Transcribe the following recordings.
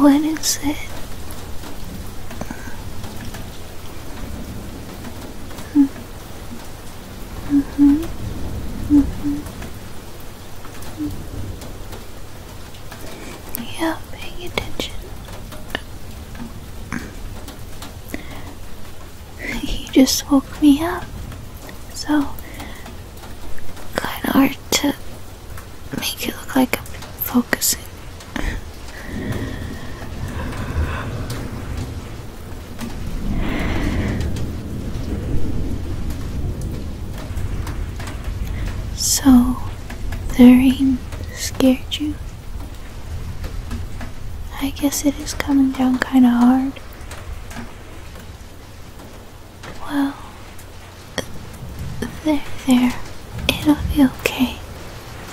What is it? Mm-hmm. mm Yeah, paying attention. You just woke me up, so Kinda hard to make it look like I'm focusing. So, the rain scared you? I guess it is coming down kinda hard. Well, there, there. It'll be okay.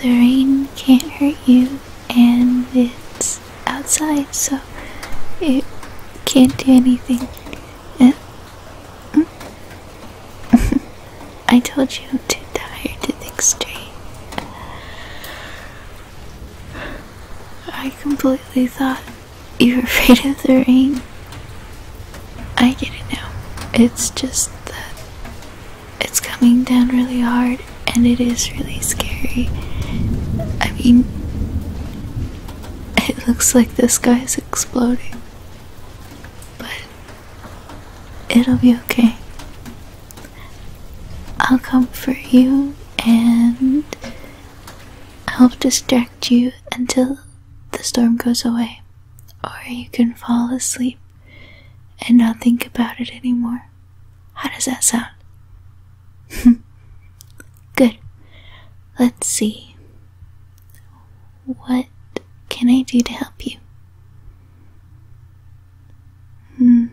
The rain can't hurt you, and it's outside, so it can't do anything. Uh, mm. I told you I'm too tired to think straight. I completely thought you were afraid of the rain. I get it now. It's just that it's coming down really hard and it is really scary. I mean, it looks like this guy's exploding. But it'll be okay. I'll comfort you and i help distract you until the storm goes away. Or you can fall asleep and not think about it anymore. How does that sound? Good. Let's see. What can I do to help you? Hmm.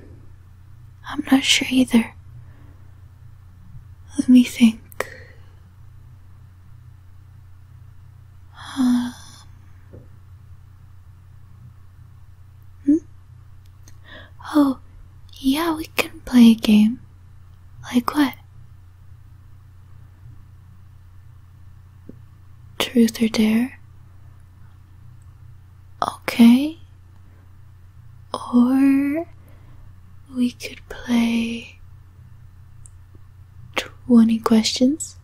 I'm not sure either. Let me think. Um. Hmm? Oh, yeah, we can play a game. Like what? Truth or Dare? Okay? Or we could play 20 questions?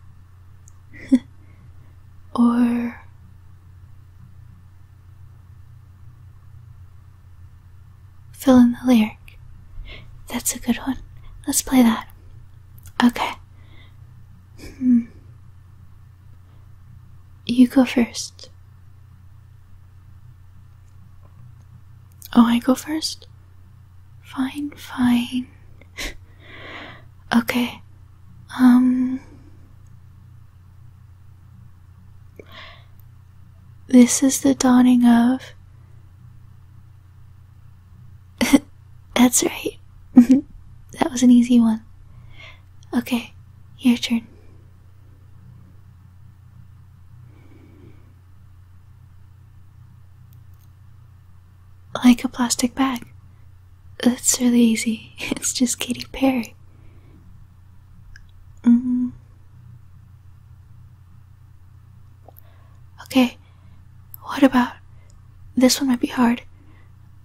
or fill in the lyric. That's a good one. Let's play that. Okay. Hmm. You go first. Oh, I go first? Fine, fine. okay. Um. This is the dawning of That's right. Mm-hmm. that was an easy one. Okay, your turn. Like a plastic bag. That's really easy. It's just Katy Perry. Mm-hmm. Okay, what about? This one might be hard.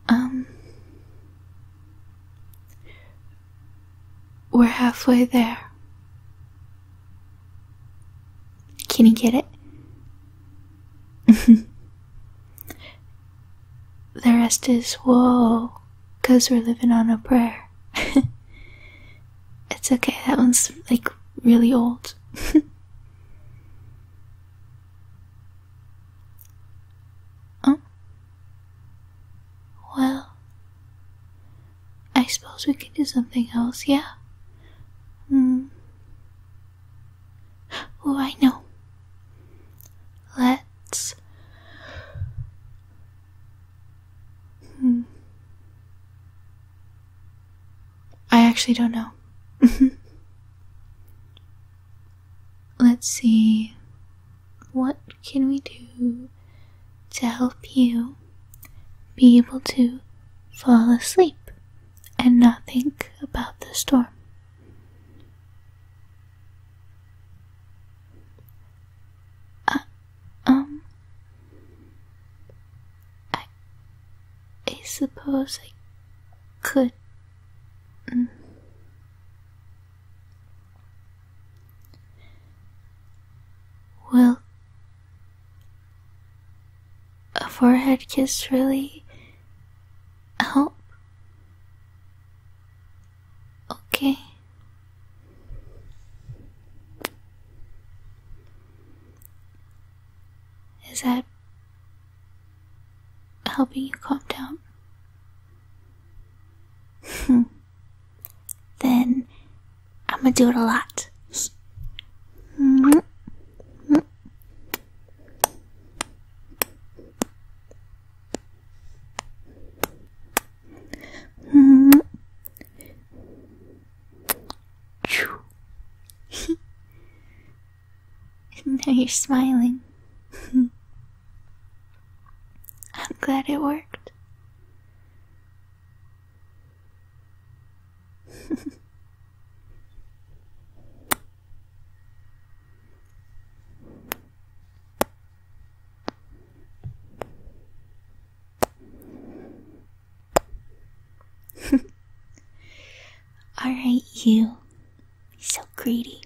Um. We're halfway there. Can you get it? the rest is whoa, because we're living on a prayer. it's okay, that one's like really old. Huh? Well, I suppose we could do something else, yeah? Hmm. Oh, I know. Let's. Hmm. I actually don't know. Let's see. What can we do to help you be able to fall asleep and not think about the storm? Uh, um, I, I suppose I could. Mm. Will a forehead kiss really help? Okay. Is that helping you calm down? Hmm. then I'm gonna do it a lot. now you're smiling. I'm glad it worked. Alright, you. So greedy.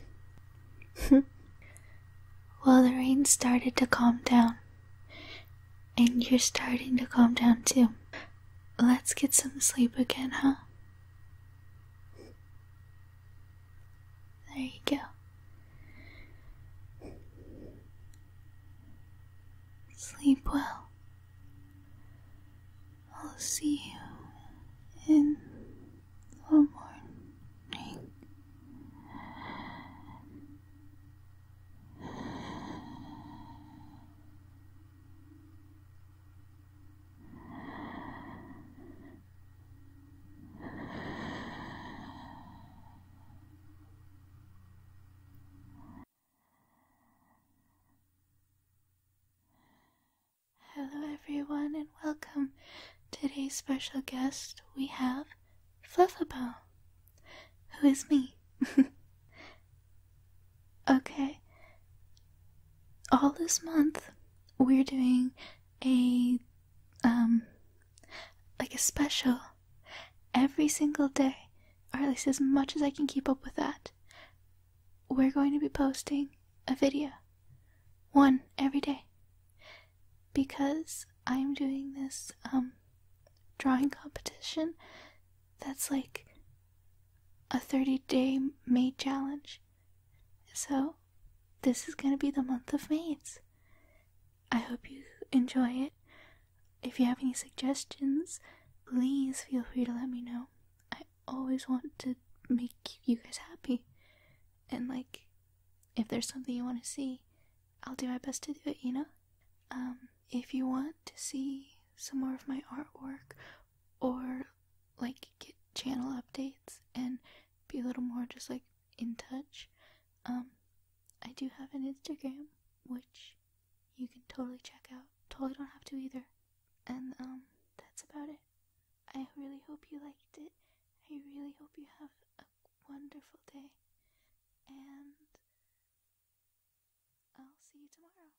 well, the rain started to calm down. And you're starting to calm down too. Let's get some sleep again, huh? There you go. Sleep well. I'll see you in the morning. Hello, everyone, and welcome. Today's special guest we have Fluffabo, who is me. okay, all this month we're doing a um like a special every single day or at least as much as i can keep up with that we're going to be posting a video one every day because i'm doing this um drawing competition that's like a 30 day May challenge so this is going to be the month of maids. I hope you enjoy it. If you have any suggestions, please feel free to let me know. I always want to make you guys happy. And, like, if there's something you want to see, I'll do my best to do it, you know? Um, if you want to see some more of my artwork or like get channel updates and be a little more just like in touch, um, I do have an Instagram which you can totally check out. Totally don't have to either. And um, that's about it. I really hope you liked it. I really hope you have a wonderful day. And I'll see you tomorrow.